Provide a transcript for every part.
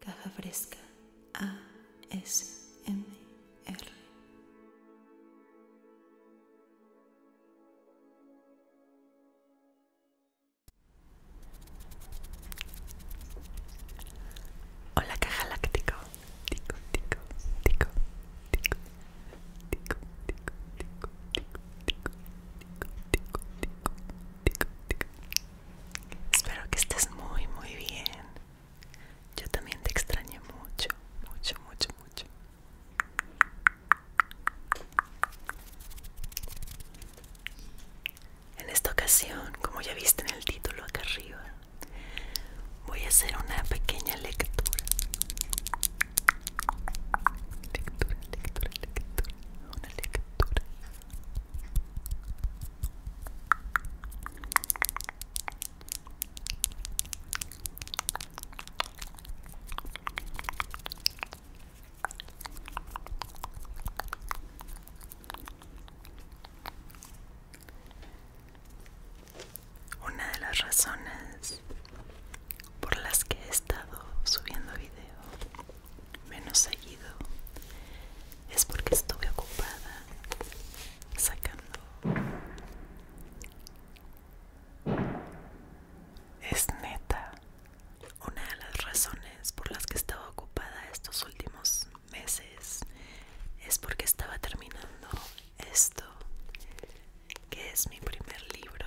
Caja Fresca ASMR. Hola Caja Láctico. Espero que estés muy, muy bien. Yo también te extrañé mucho, mucho, mucho, mucho. En esta ocasión, como ya viste en el título acá arriba, voy a hacer una pequeña lectura. Lectura, lectura, lectura. Una lectura. Una de las razones por las que he estado subiendo video menos seguido es porque estuve ocupada sacando es neta una de las razones por las que estaba ocupada estos últimos meses es porque estaba terminando esto que es mi primer libro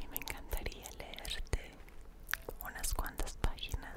Y me encantaría leerte unas cuantas páginas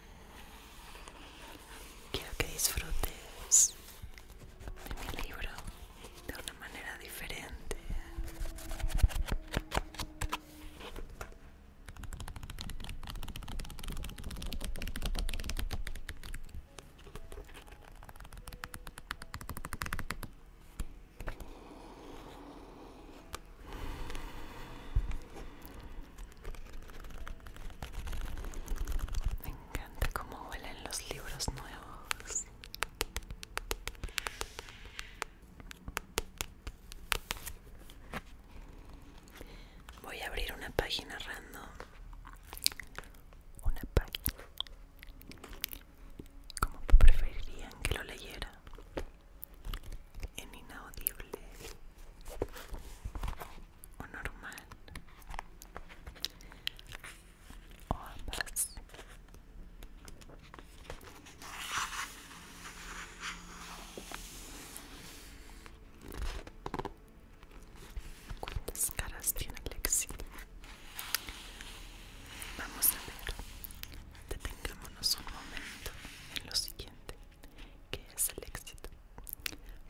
Quiero que disfrutes de mi libro de una manera diferente. Me encanta cómo huelen los libros nuevos. Voy a abrir una página random. Una página. ¿Cómo preferirían que lo leyera en inaudible o normal o ambas ¿Cuántas caras tiene Lexi? Vamos a ver. Detengámonos un momento en lo siguiente. ¿Qué es el éxito?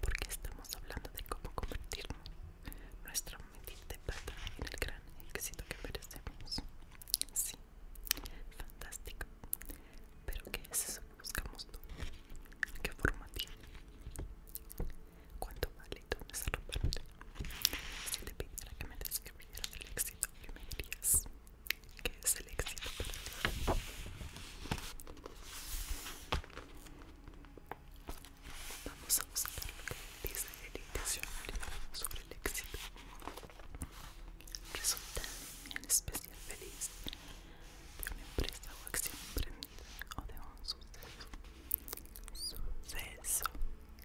Porque estamos hablando de cómo convertir nuestra medida de plata en el gran éxito que merecemos. Sí, fantástico. Pero ¿qué es eso que buscamos tú? ¿Qué forma tiene? ¿Cuánto vale dónde se Si te pidiera que me describieras el éxito, ¿qué me dirías? que es el éxito para mí. Vamos a buscar lo que dice el diccionario sobre el éxito. Resulta en especial feliz de una empresa o acción emprendida o de un suceso. Suceso,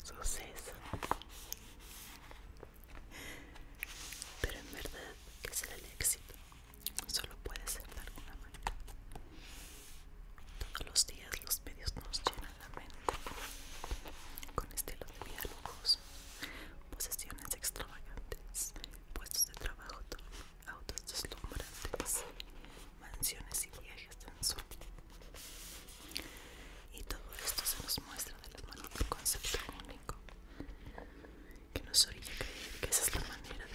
suceso. Pero en verdad, que será el éxito? Solo puede ser de alguna manera. Todos los días los medios nos llenan la mente con estilos de vida lujosos, posesiones extravagantes, puestos de trabajo autos deslumbrantes, mansiones y viajes en sol. Y todo esto se nos muestra de la mano del concepto único que nos orilla que esa es la manera de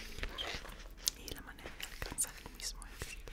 vivir y la manera de alcanzar el mismo éxito.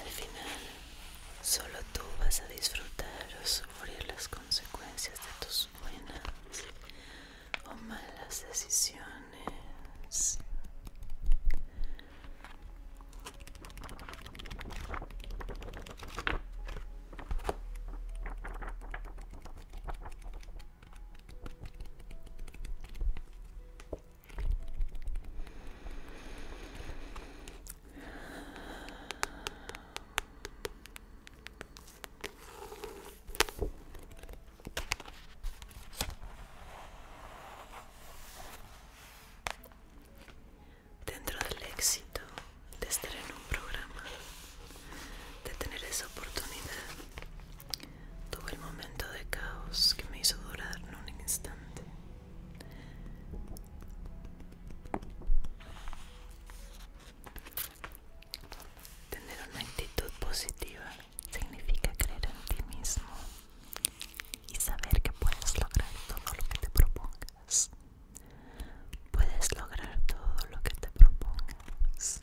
Al final, solo tú vas a disfrutar o sufrir las consecuencias de tus buenas o malas decisiones. Dentro del éxito de estar en un programa, de tener esa oportunidad, tuve el momento de caos que me hizo durar en un instante. Tener una actitud positiva significa creer en ti mismo y saber que puedes lograr todo lo que te propongas. Puedes lograr todo lo que te propongas.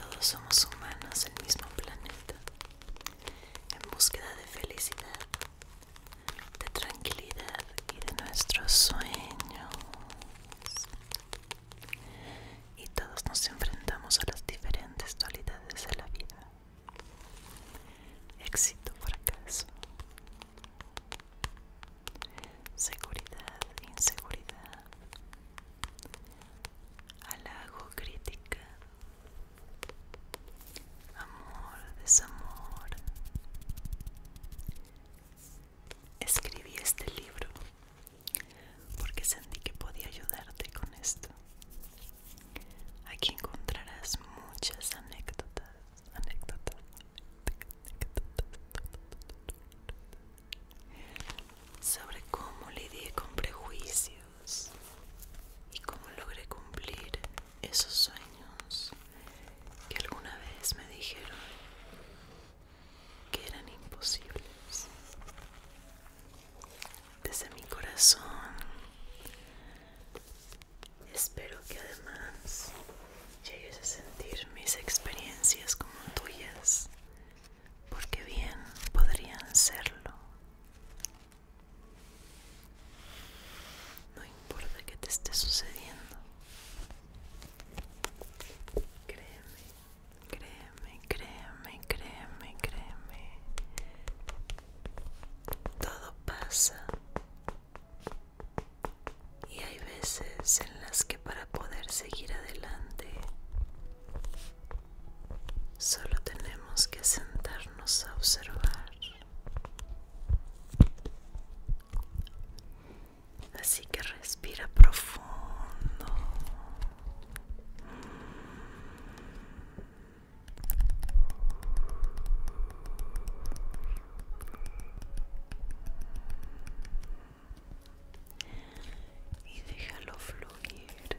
Todos somos humanos el mismo planeta en búsqueda de felicidad, de tranquilidad y de nuestros sueños. Y todos nos enfrentamos a las diferentes dualidades de la vida. Éxito, fracaso. Seguridad, inseguridad halago, crítica, amor, desamor. Escribí este libro porque sentí que podía ayudarte con esto. Aquí encontrarás muchas anécdotas, anécdotas, sobre cómo lidié con prejuicios y cómo logré cumplir esos sueños que alguna vez me dijeron que eran imposibles. Desde mi corazón espero que además llegues a sentir mis experiencias como tuyas porque bien podrían serlo. No importa que te esté sucediendo. Créeme, créeme, créeme, créeme, créeme. Todo pasa. Y hay veces en las que para poder seguir adelante Solo tenemos que sentarnos a observar. Así que respira profundo. Y déjalo fluir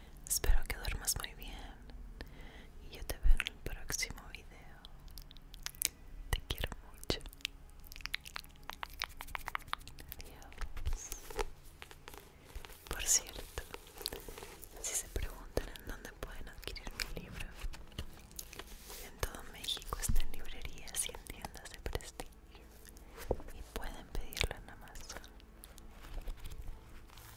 Espero que duermas muy bien y yo te veo en el próximo video. Te quiero mucho. Adiós. Por cierto, si se preguntan en dónde pueden adquirir mi libro, en todo México está en librerías y en tiendas de prestigio y pueden pedirlo en Amazon.